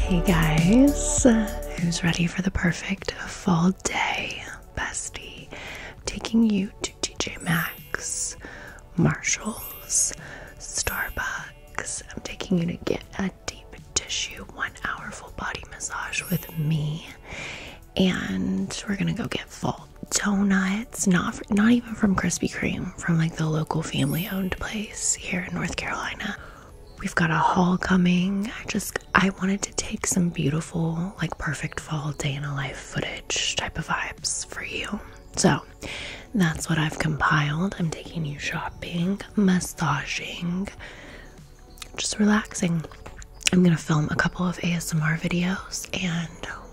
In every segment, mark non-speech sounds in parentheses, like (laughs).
Hey guys, who's ready for the perfect fall day? Bestie, taking you to TJ Maxx, Marshalls, Starbucks. I'm taking you to get a deep tissue one hour full body massage with me, and we're gonna go get fall donuts. Not not even from Krispy Kreme, from like the local family owned place here in North Carolina. We've got a haul coming. I just I wanted to take some beautiful, like perfect fall day in a life footage type of vibes for you. So that's what I've compiled. I'm taking you shopping, massaging, just relaxing. I'm gonna film a couple of ASMR videos and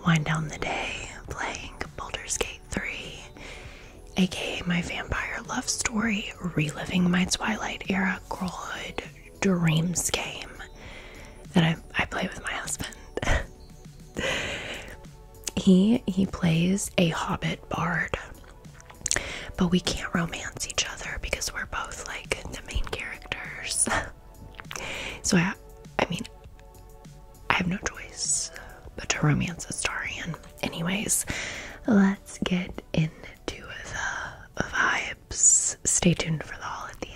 wind down the day playing Baldur's Gate. 3, aka my vampire love story, reliving my Twilight era girlhood dreams game that I, I play with my husband. (laughs) he he plays a hobbit bard. But we can't romance each other because we're both like the main characters. (laughs) so I I mean I have no choice but to romance a Starian. Anyways, let's get into the vibes. Stay tuned for the haul at the end.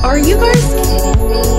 Are you guys kidding me?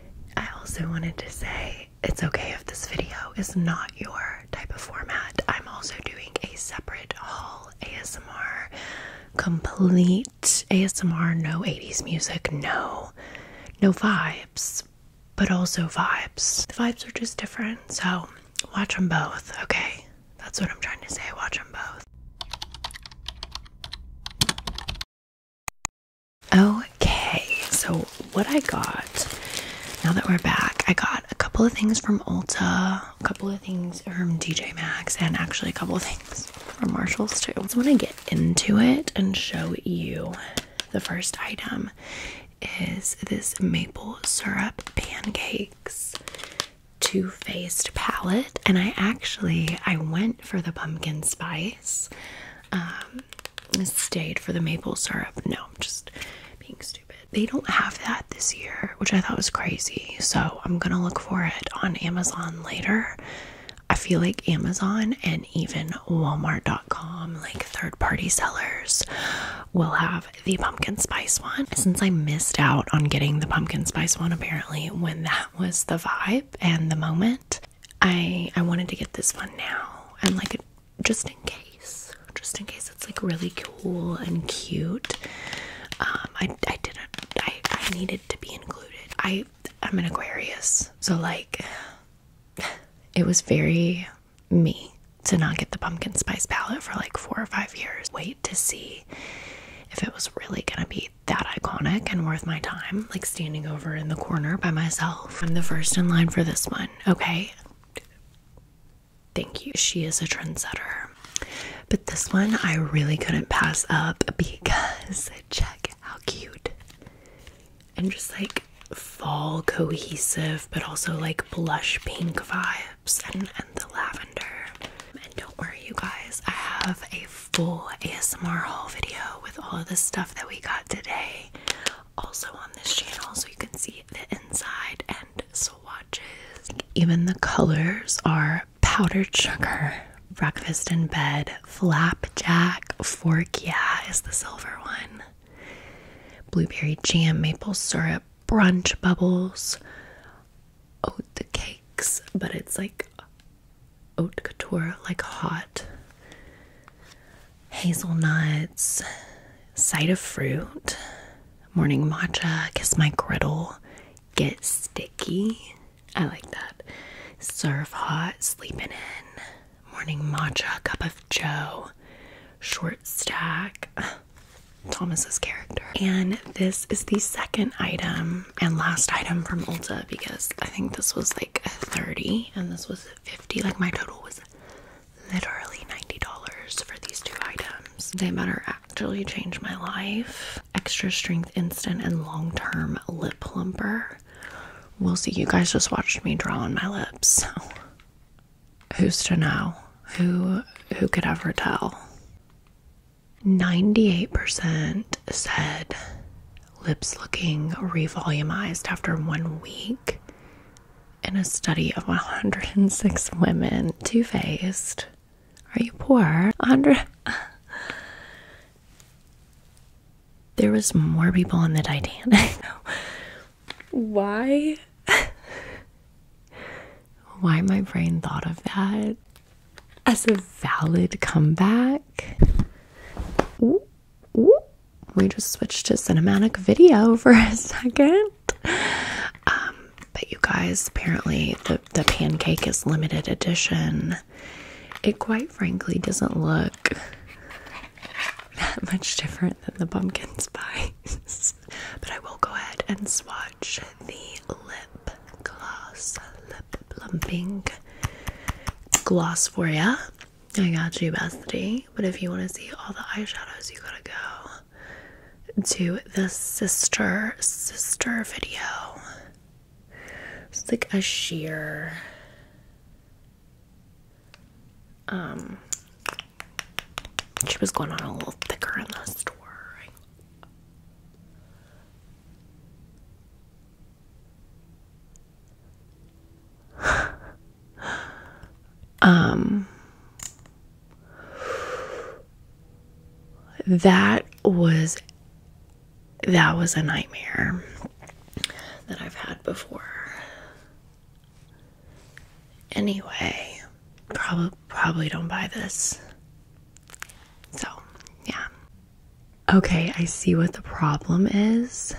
I also wanted to say it's okay if this video is not your type of format. I'm also doing a separate haul ASMR, complete ASMR, no 80s music, no no vibes, but also vibes. The vibes are just different, so watch them both, okay? That's what I'm trying to say. Watch them both. Okay, so what I got now that we're back, I got a couple of things from Ulta, a couple of things from DJ Maxx, and actually a couple of things from Marshalls too. So when I get into it and show you the first item is this maple syrup pancakes two-faced palette and I actually I went for the pumpkin spice. Um, stayed for the maple syrup. No, I'm just being stupid. They don't have that this year, which I thought was crazy. So I'm gonna look for it on Amazon later. I feel like Amazon and even Walmart.com, like third party sellers, will have the pumpkin spice one. Since I missed out on getting the pumpkin spice one, apparently, when that was the vibe, and the moment. I I wanted to get this one now and like just in case, just in case it's like really cool and cute. Um, I I didn't I I needed to be included. I I'm an Aquarius, so like (sighs) it was very me to not get the pumpkin spice palette for like four or five years. Wait to see if it was really gonna be that iconic and worth my time, like standing over in the corner by myself. I'm the first in line for this one, okay? Thank you. She is a trendsetter. But this one I really couldn't pass up because (laughs) check how cute and just like fall cohesive, but also like blush pink vibes and, and the lavender. And don't worry, you guys, I have a full ASMR haul video with all of the stuff that we got today also on this channel so you can see the inside and swatches. Even the colors are powdered sugar, breakfast in bed, flapjack, fork yeah is the silver one, blueberry jam, maple syrup, brunch bubbles, Oh, the cakes, but it's like haute couture, like hot hazelnuts, side of fruit, morning matcha, kiss my griddle, get sticky. I like that. Surf hot, sleeping in, morning matcha, cup of joe, short stack. (sighs) Thomas's character. And this is the second item and last item from Ulta because I think this was like 30 and this was 50. Like my total was literally $90 for these two items. They better actually change my life. Extra strength instant and long-term lip plumper. We'll see. You guys just watched me draw on my lips. who's to know? Who who could ever tell? 98% said lips looking revolumized after one week in a study of 106 women. Two faced. Are you poor? 100. there was more people on the Titanic. Why? Why my brain thought of that as a valid comeback. We just switched to cinematic video (laughs) for a second. Um, but you guys, apparently the, the pancake is limited edition. It quite frankly doesn't look that much different than the pumpkin (laughs) spice. but I will go ahead and swatch the lip gloss lip plumping gloss for ya. I got you, bestie. But if you want to see all the eyeshadows, you gotta go to the sister sister video. It's like a sheer um she was going on a little thicker in the store. (laughs) um that was that was a nightmare that I've had before. Anyway, probably probably don't buy this. So, yeah. Okay, I see what the problem is.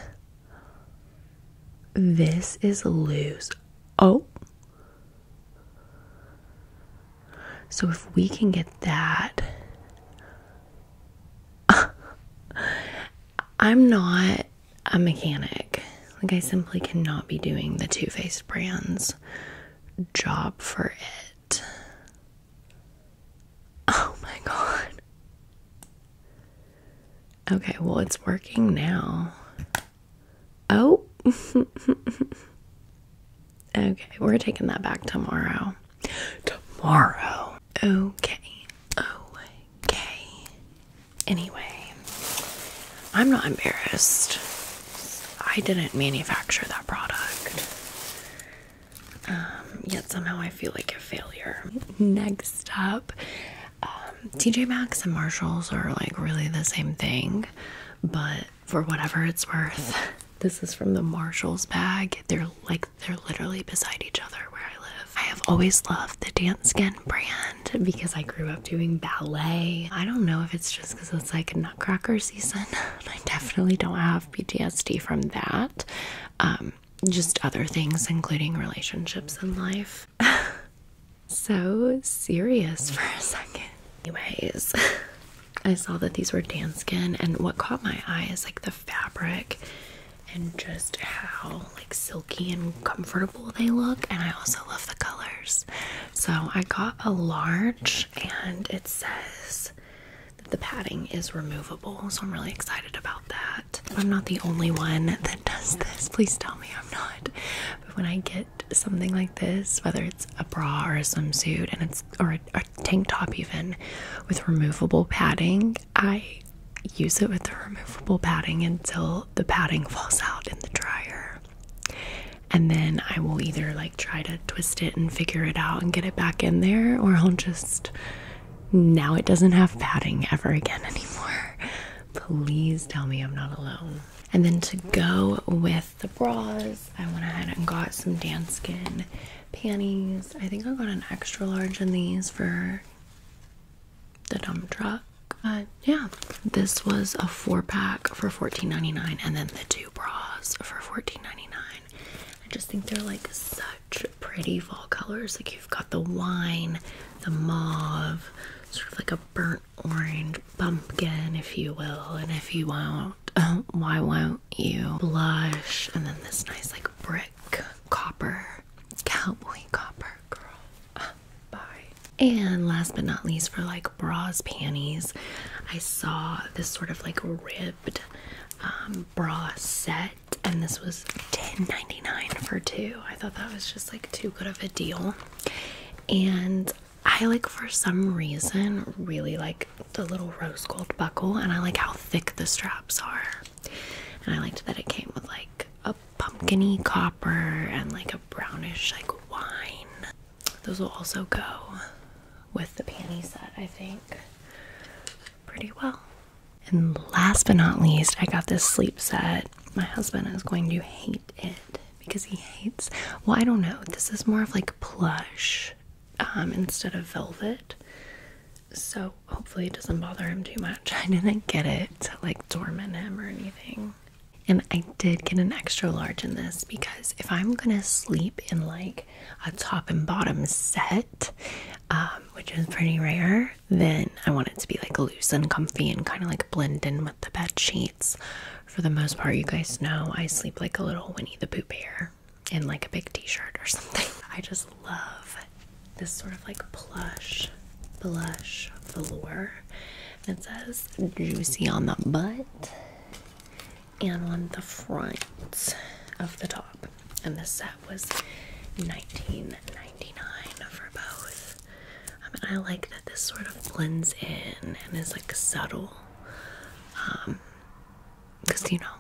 This is loose. Oh. So if we can get that. (laughs) I'm not a mechanic. Like, I simply cannot be doing the Too Faced brand's job for it. Oh my god. Okay, well, it's working now. Oh. (laughs) okay, we're taking that back tomorrow. Tomorrow. Okay. Okay. Anyway, I'm not embarrassed. I didn't manufacture that product. Um, yet somehow I feel like a failure. Next up, um, TJ Maxx and Marshalls are like really the same thing, but for whatever it's worth, (laughs) this is from the Marshalls bag. They're like they're literally beside each other where I live. I have always loved the Dance brand because I grew up doing ballet. I don't know if it's just because it's like nutcracker season. (laughs) I definitely don't have PTSD from that. Um, just other things, including relationships in life. (laughs) so serious for a second. Anyways, (laughs) I saw that these were Danskin, and what caught my eye is like the fabric and just how like silky and comfortable they look. And I also love the colors. So I got a large, and it says the padding is removable, so I'm really excited about that. I'm not the only one that does this. Please tell me I'm not. But when I get something like this, whether it's a bra or a swimsuit, and it's or a tank top even with removable padding, I use it with the removable padding until the padding falls out in the dryer and then I will either like try to twist it and figure it out and get it back in there, or I'll just now it doesn't have padding ever again (laughs) anymore. Please tell me I'm not alone. And then to go with the bras, I went ahead and got some Danskin panties. I think I got an extra large in these for the dump truck. But yeah, this was a four pack for $14.99, and then the two bras for $14.99. I just think they're like such pretty fall colors. Like you've got the wine, the mauve, sort of like a burnt orange pumpkin, if you will. And if you won't, (laughs) why won't you? Blush, and then this nice like brick copper, cowboy copper girl. Uh, bye. And last but not least, for like bras, panties. I saw this sort of like ribbed um, bra set, and this was $10.99 for two. I thought that was just like too good of a deal. And I like for some reason really like the little rose gold buckle, and I like how thick the straps are. And I liked that it came with like a pumpkiny copper and like a brownish like wine those will also go with the panty set, I think, pretty well. And last but not least, I got this sleep set. My husband is going to hate it because he hates, well, I don't know. This is more of like plush um, instead of velvet. So hopefully it doesn't bother him too much. (laughs) I didn't get it to like dormant him or anything. And I did get an extra large in this because if I'm gonna sleep in like a top and bottom set, um, which is pretty rare, then I want it to be like loose and comfy and kind of like blend in with the bed sheets. For the most part, you guys know I sleep like a little Winnie the Pooh bear in like a big t shirt or (laughs) something. I just love this sort of like plush, plush velour. It says juicy on the butt and on the front of the top. And this set was $19.99 for both. I um, mean, I like that this sort of blends in and is like subtle. Um, because you know,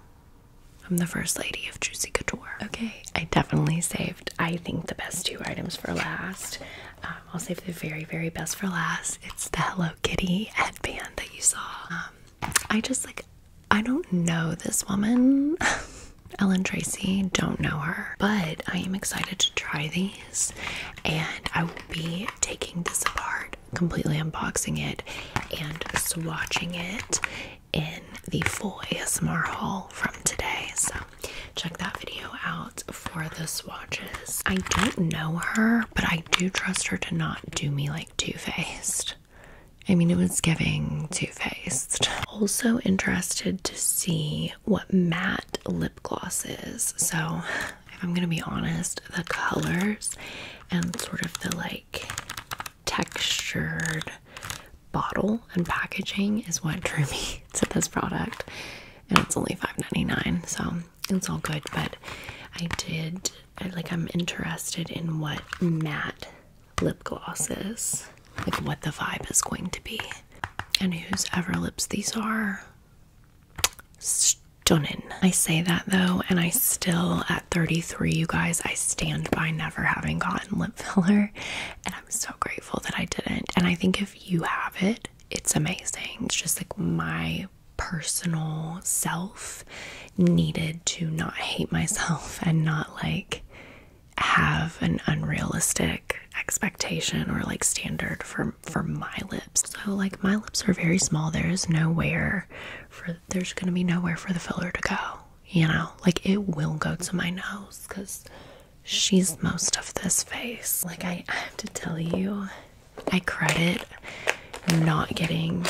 I'm the first lady of Juicy Couture. Okay, I definitely saved, I think, the best two items for last. Um, I'll save the very, very best for last. It's the Hello Kitty headband that you saw. Um, I just like, I don't know this woman. (laughs) Ellen Tracy, don't know her, but I am excited to try these and I will be taking this apart, completely unboxing it and swatching it in the full ASMR haul from today. So check that video out for the swatches. I don't know her, but I do trust her to not do me like Too faced. I mean, it was giving Too faced. Also, interested to see what matte lip gloss is. So, if I'm gonna be honest, the colors and sort of the like textured bottle and packaging is what drew me (laughs) to this product. And it's only $5.99, so it's all good, but I did like I'm interested in what matte lip gloss is, like what the vibe is going to be, and whose ever lips these are. Stunning. I say that though, and I still at 33, you guys, I stand by never having gotten lip filler, and I'm so grateful that I didn't. And I think if you have it, it's amazing. It's just like my personal self needed to not hate myself and not like have an unrealistic expectation or like standard for for my lips. So like my lips are very small. There is nowhere for there's going to be nowhere for the filler to go, you know? Like it will go to my nose cuz she's most of this face. Like I have to tell you I credit not getting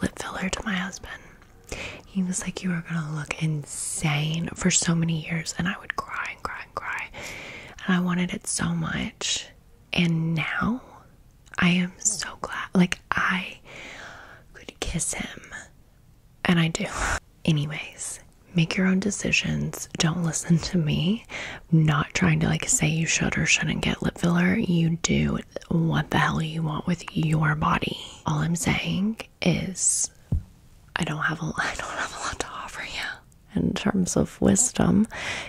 lip filler to my husband. He was like, You are gonna look insane for so many years, and I would cry and cry and cry, and I wanted it so much. And now I am so glad, like, I could kiss him, and I do, anyways. Make your own decisions. Don't listen to me not trying to like say you should or shouldn't get lip filler. You do what the hell you want with your body. All I'm saying is I don't have a (laughs) I don't have a lot to offer you in terms of wisdom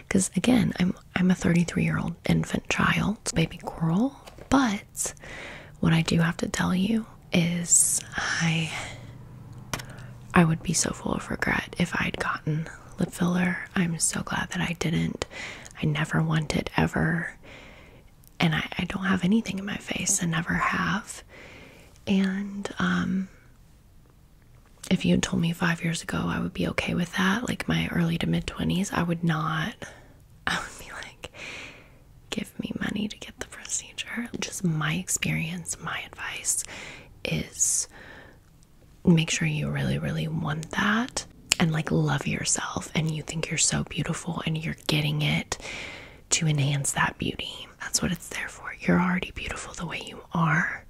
because again, I'm I'm a 33-year-old infant child, baby girl, but what I do have to tell you is I I would be so full of regret if I'd gotten lip filler. I'm so glad that I didn't. I never want it ever. And I, don't have anything in my face. I never have. And um, if you had told me five years ago I would be okay with that, like my early to mid 20s, I would not. (laughs) I would be like, give me money to get the procedure. Just my experience, my advice is make sure you really, really want that and like love yourself and you think you're so beautiful and you're getting it to enhance that beauty. That's what it's there for. You're already beautiful the way you are.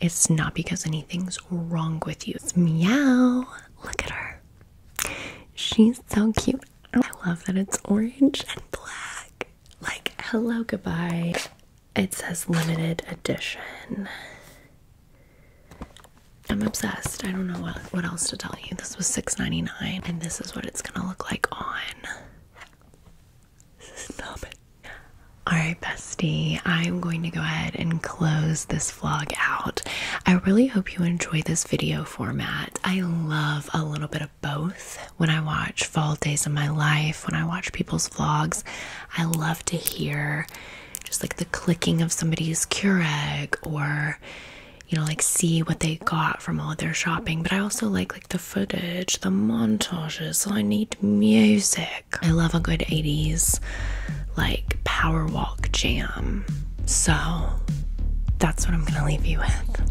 It's not because anything's wrong with you. It's meow. Look at her. She's so cute. I love that it's orange and black. Like, hello, goodbye. It says limited edition. I'm obsessed. I don't know what, what else to tell you. This was $6.99 and this is what it's gonna look like on. Stop it. Alright, bestie, I'm going to go ahead and close this vlog out. I really hope you enjoy this video format. I love a little bit of both. When I watch fall days in my life, when I watch people's vlogs, I love to hear just like the clicking of somebody's Keurig or you know like see what they got from all their shopping, but I also like like the footage, the montages. I need music. I love a good 80s like power walk jam. So that's what I'm going to leave you with.